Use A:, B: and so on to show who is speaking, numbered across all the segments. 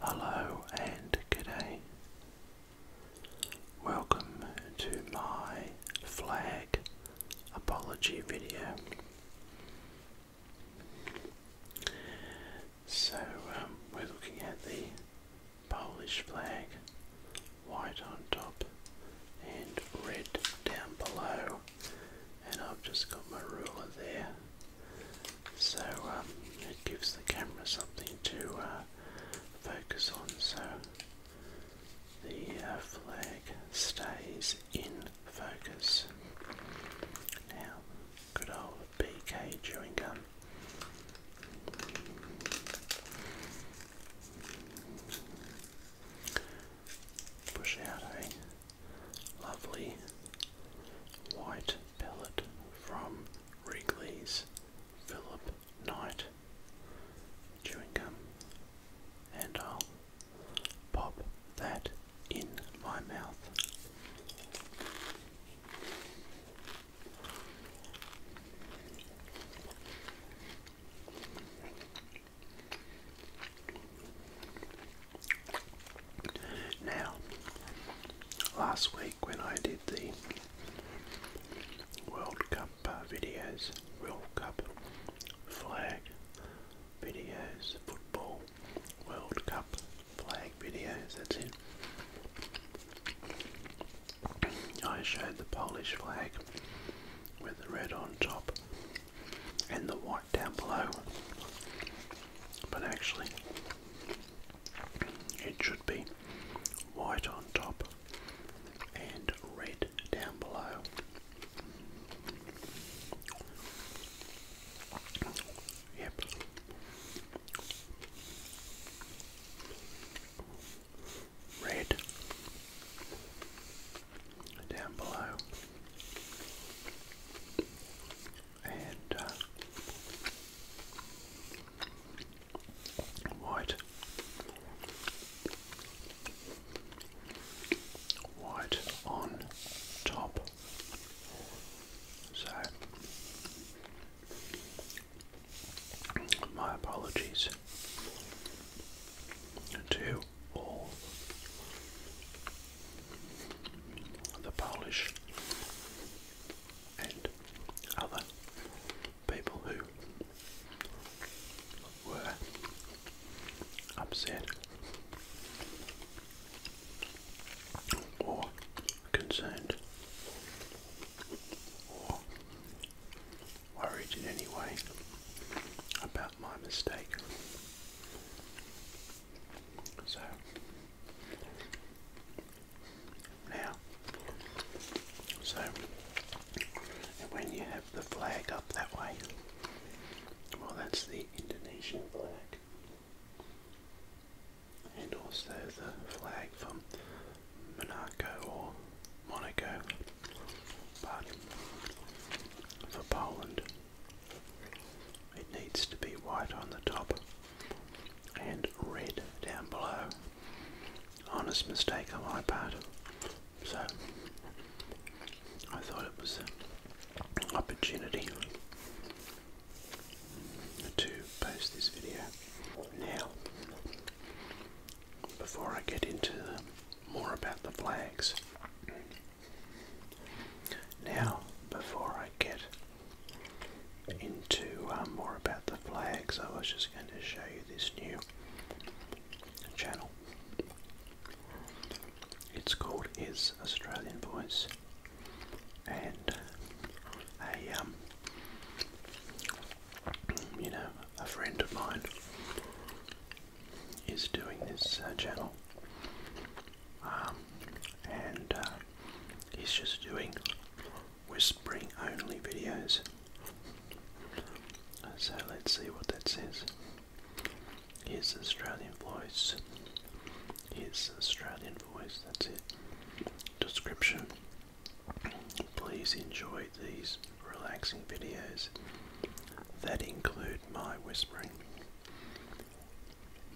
A: Hello and good day. Welcome to my flag apology video. So um, we're looking at the Polish flag, white on top and red down below, and I've just got my ruler there so um, it gives the camera something to uh, focus on so the uh, flag stays in focus. Now, good old BK chewing gum. Push out a lovely White pellet from Wrigley's Philip Knight chewing gum, and I'll pop that in my mouth. Now, last week when I did the World Cup uh, videos, World Cup flag videos, football World Cup flag videos, that's it. I showed the Polish flag with the red on top and the white down below. But actually, it should be white on top and red down below. Yep. Red down below and uh, white, white on top. So, my apologies to all the Polish and other people who were upset or concerned or worried in any way about my mistake. So now, so when you have the flag up that way, well, that's the Indonesian flag, and also the flag from Monaco or Monaco, but for Poland, it needs to be white on the top and red down below. Honest mistake on my part. So I thought it was an opportunity to post this video. Now, before I get into more about the flags, now before I get into um, more about the flags, I was just going to show you this new channel. It's called Is Australian Voice, and a um, you know a friend of mine is doing this uh, channel, um, and uh, he's just doing whispering only videos. So let's see what that says. Here's the Australian voice. It's Australian voice, that's it. Description. Please enjoy these relaxing videos that include my whispering.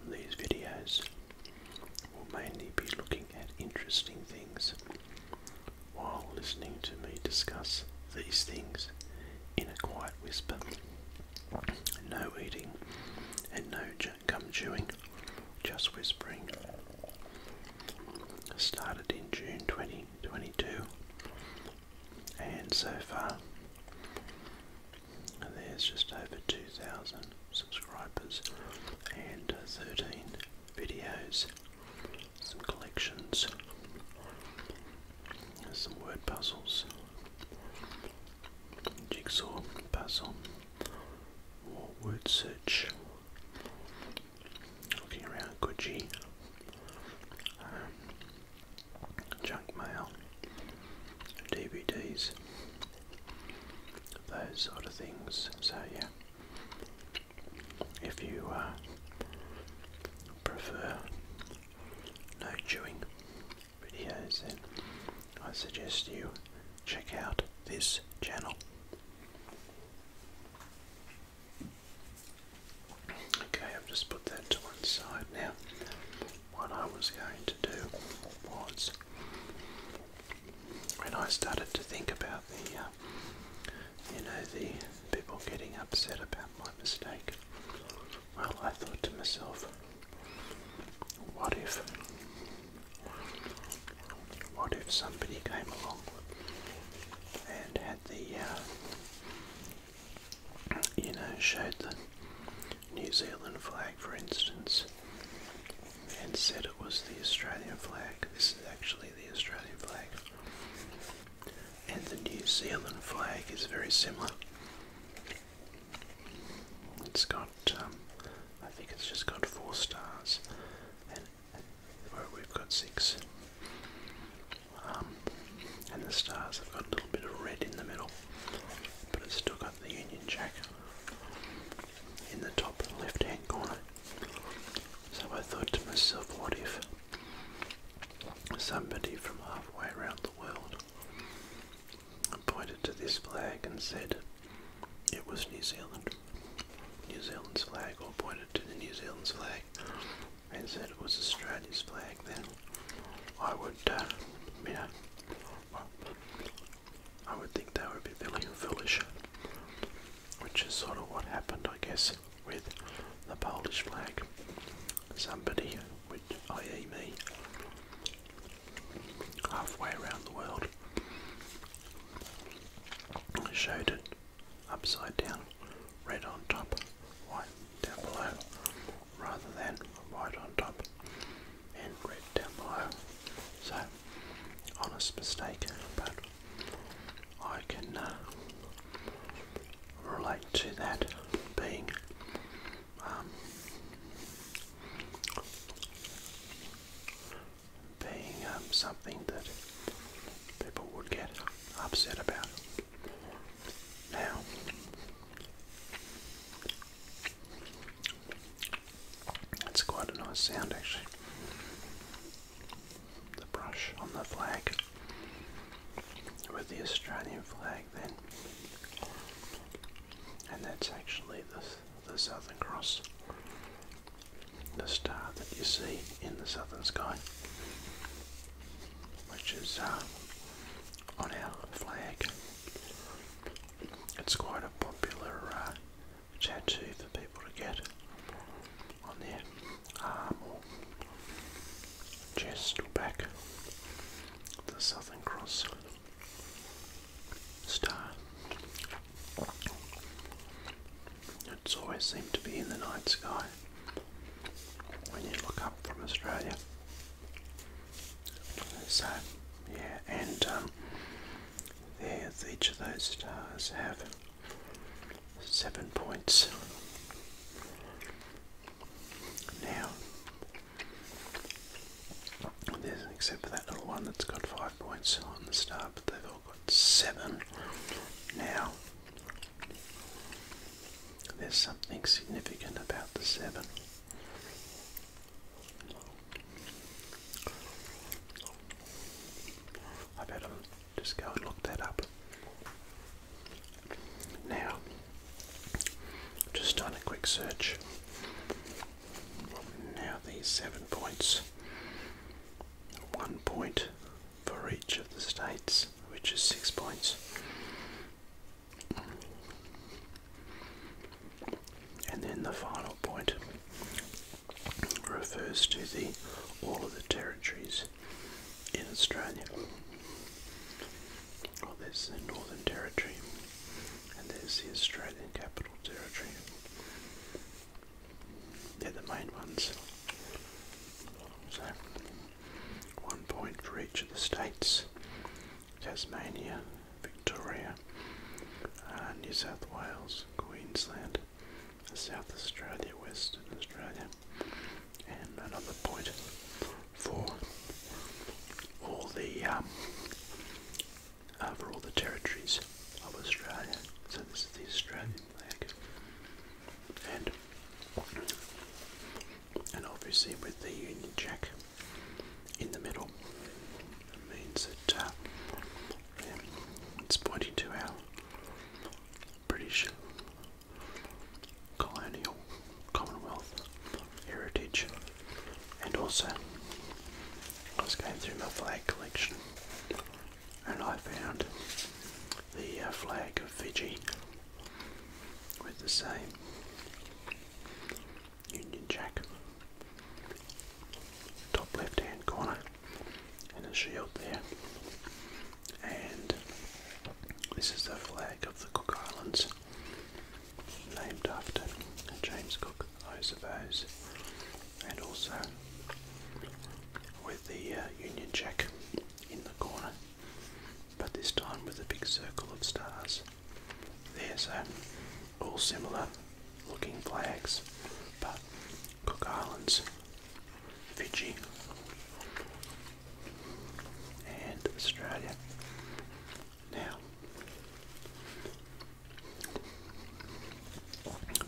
A: These videos will mainly be looking at interesting things while listening to me discuss these things in a quiet whisper. No eating and no gum chewing, just whispering. Started in June 2022, and so far, there's just over 2,000 subscribers and uh, 13 videos, some collections, some word puzzles, jigsaw puzzle, more word search, around Gucci, um, junk mail, DVDs those sort of things. So yeah, if you uh, prefer no chewing videos, then I suggest you check out this channel. Okay, I've just put that to one side now. What I was going to do was when I started to think about the, uh, you know, the people getting upset about my mistake, well, I thought to myself, what if, what if somebody came along and had the, uh, you know, showed the New Zealand flag, for instance, and said it was the Australian flag. This is actually the Australian flag. And the New Zealand flag is very similar. It's got, um, I think it's just got four stars, and, we've got six. Um, and the stars have got a little bit of red in the middle, but it's still got the Union Jack in the top left hand corner. So I thought to myself, what if somebody from halfway around the world pointed to this flag and said it was New Zealand, New Zealand's flag, or pointed to the New Zealand's flag and said it was Australia's flag, then I would, uh, you I would think that would be feeling foolish, which is sort of what happened, I guess, with the Polish flag. Somebody, which, i.e., me, halfway around the world, showed it upside down, red on top, white down below, rather than white on top and red down below. So honest mistake, but I can uh, relate to that being um, being um, something that people would get upset about. Now, it's quite a nice sound actually. The brush on the flag with the Australian flag then. And that's actually the, the Southern Cross, the star that you see in the southern sky, which is uh, on our flag. It's quite a popular uh, tattoo for people to get on their arm or chest or back. The Southern Cross star. It's always seemed to be in the night sky when you look up from Australia. So, yeah, and um, there's each of those stars have seven points. Now, there's except for that little one that's got five points on the star, but they've all got seven. Now, there's something significant about the seven. I better just go and look that up. Now, just done a quick search. Now, these seven points, one point for each of the states, which is six points. And then the final point refers to the all of the territories in Australia. Well, there's the Northern Territory, and there's the Australian Capital Territory. They're the main ones. So, one point for each of the states Tasmania, Victoria, uh, New South Wales, Queensland, South Australia, Western Australia, and another point for all the um, uh, for all the territories of Australia. So this is the Australian flag, and and obviously with the Union Jack in the middle. It means that uh, it's pointing to our British colonial Commonwealth heritage, and also I was going through my flag collection, and I found the uh, flag of Fiji with the same Union Jack. Top left hand corner and a shield there. And this is the flag of the Cook Islands, named after James Cook, I suppose, and also with the uh, Union Jack in the corner, but this time with a big circle of stars. There's so all similar looking flags, but Cook Islands, Fiji, and Australia. Now,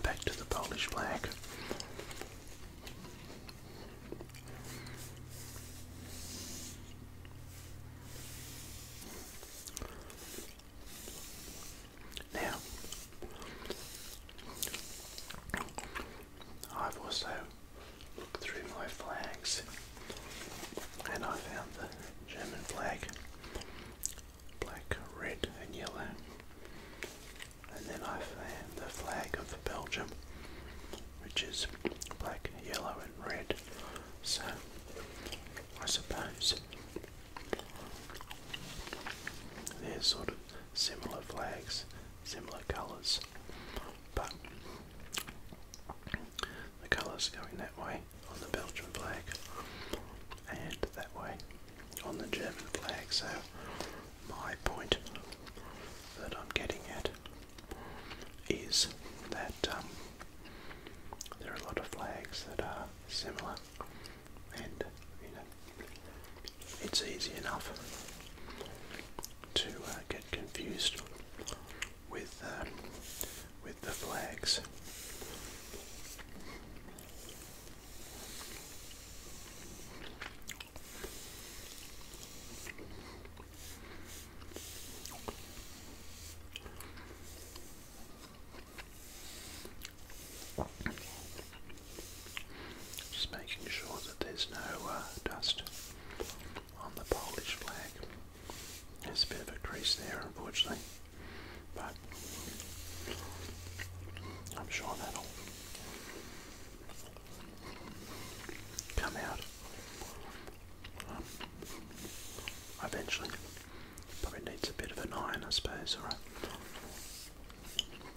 A: back to the Polish flag. Now, I've also looked through my flags and I found the German flag black, red, and yellow. And then I found the flag of Belgium, which is black, yellow, and red. So I suppose they're sort of similar flags, similar colours, but the colours going that way on the Belgian flag and that way on the German flag. So my point that I'm getting at is that um, there are a lot of flags that are similar and you know it's easy enough to uh, get confused with um, with the flags. Just making sure that there's no uh, dust on the Polish flag. There's a bit of a crease there, unfortunately, but I'm sure that'll come out um, eventually. Probably needs a bit of an iron, I suppose, or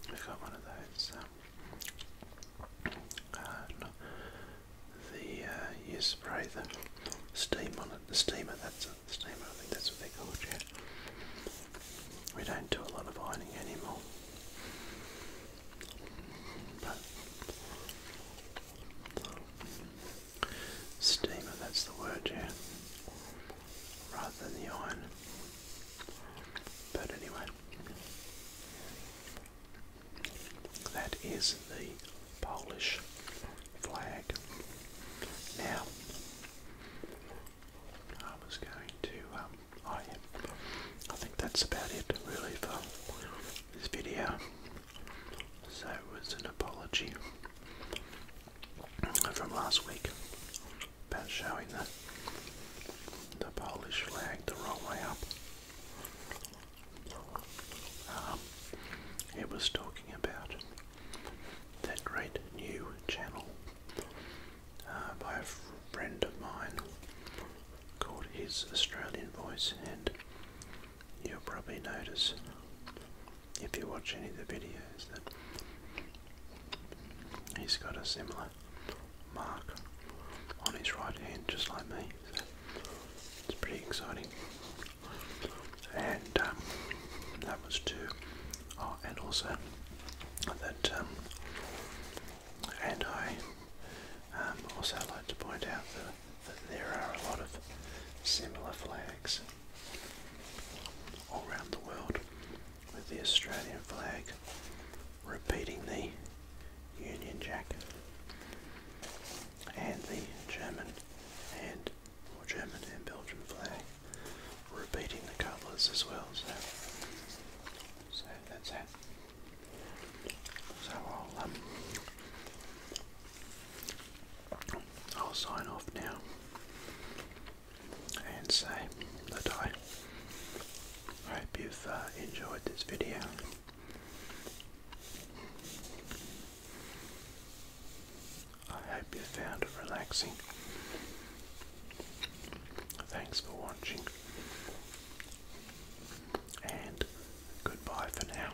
A: we got one of those. Um, uh, the uh, you spray the steam on it. The steamer. That's it. steamer. I think that's what they call it. Yeah. We don't do a lot of ironing anymore. steamer. That's the word. Yeah rather than the iron. But anyway, that is the Polish flag. Now, I was going to, um, I, oh I think that's about it really for this video. So it was an apology from last week about showing the, the Polish flag the wrong way up. Um, it was talking about that great new channel uh, by a friend of mine called His Australian Voice, and you'll probably notice if you watch any of the videos that He's got a similar mark on his right hand, just like me. it's pretty exciting. And um, that was two. Oh, and also that, um, and I um, also like to point out that there are a lot of similar flags all around the world with the Australian flag repeating the Union Jack and the German and or German and Belgian flag repeating the colours as well. So, so that's that. So I'll um, I'll sign off now and say that I hope you've uh, enjoyed this video. I hope you found it relaxing. Thanks for watching and goodbye for now.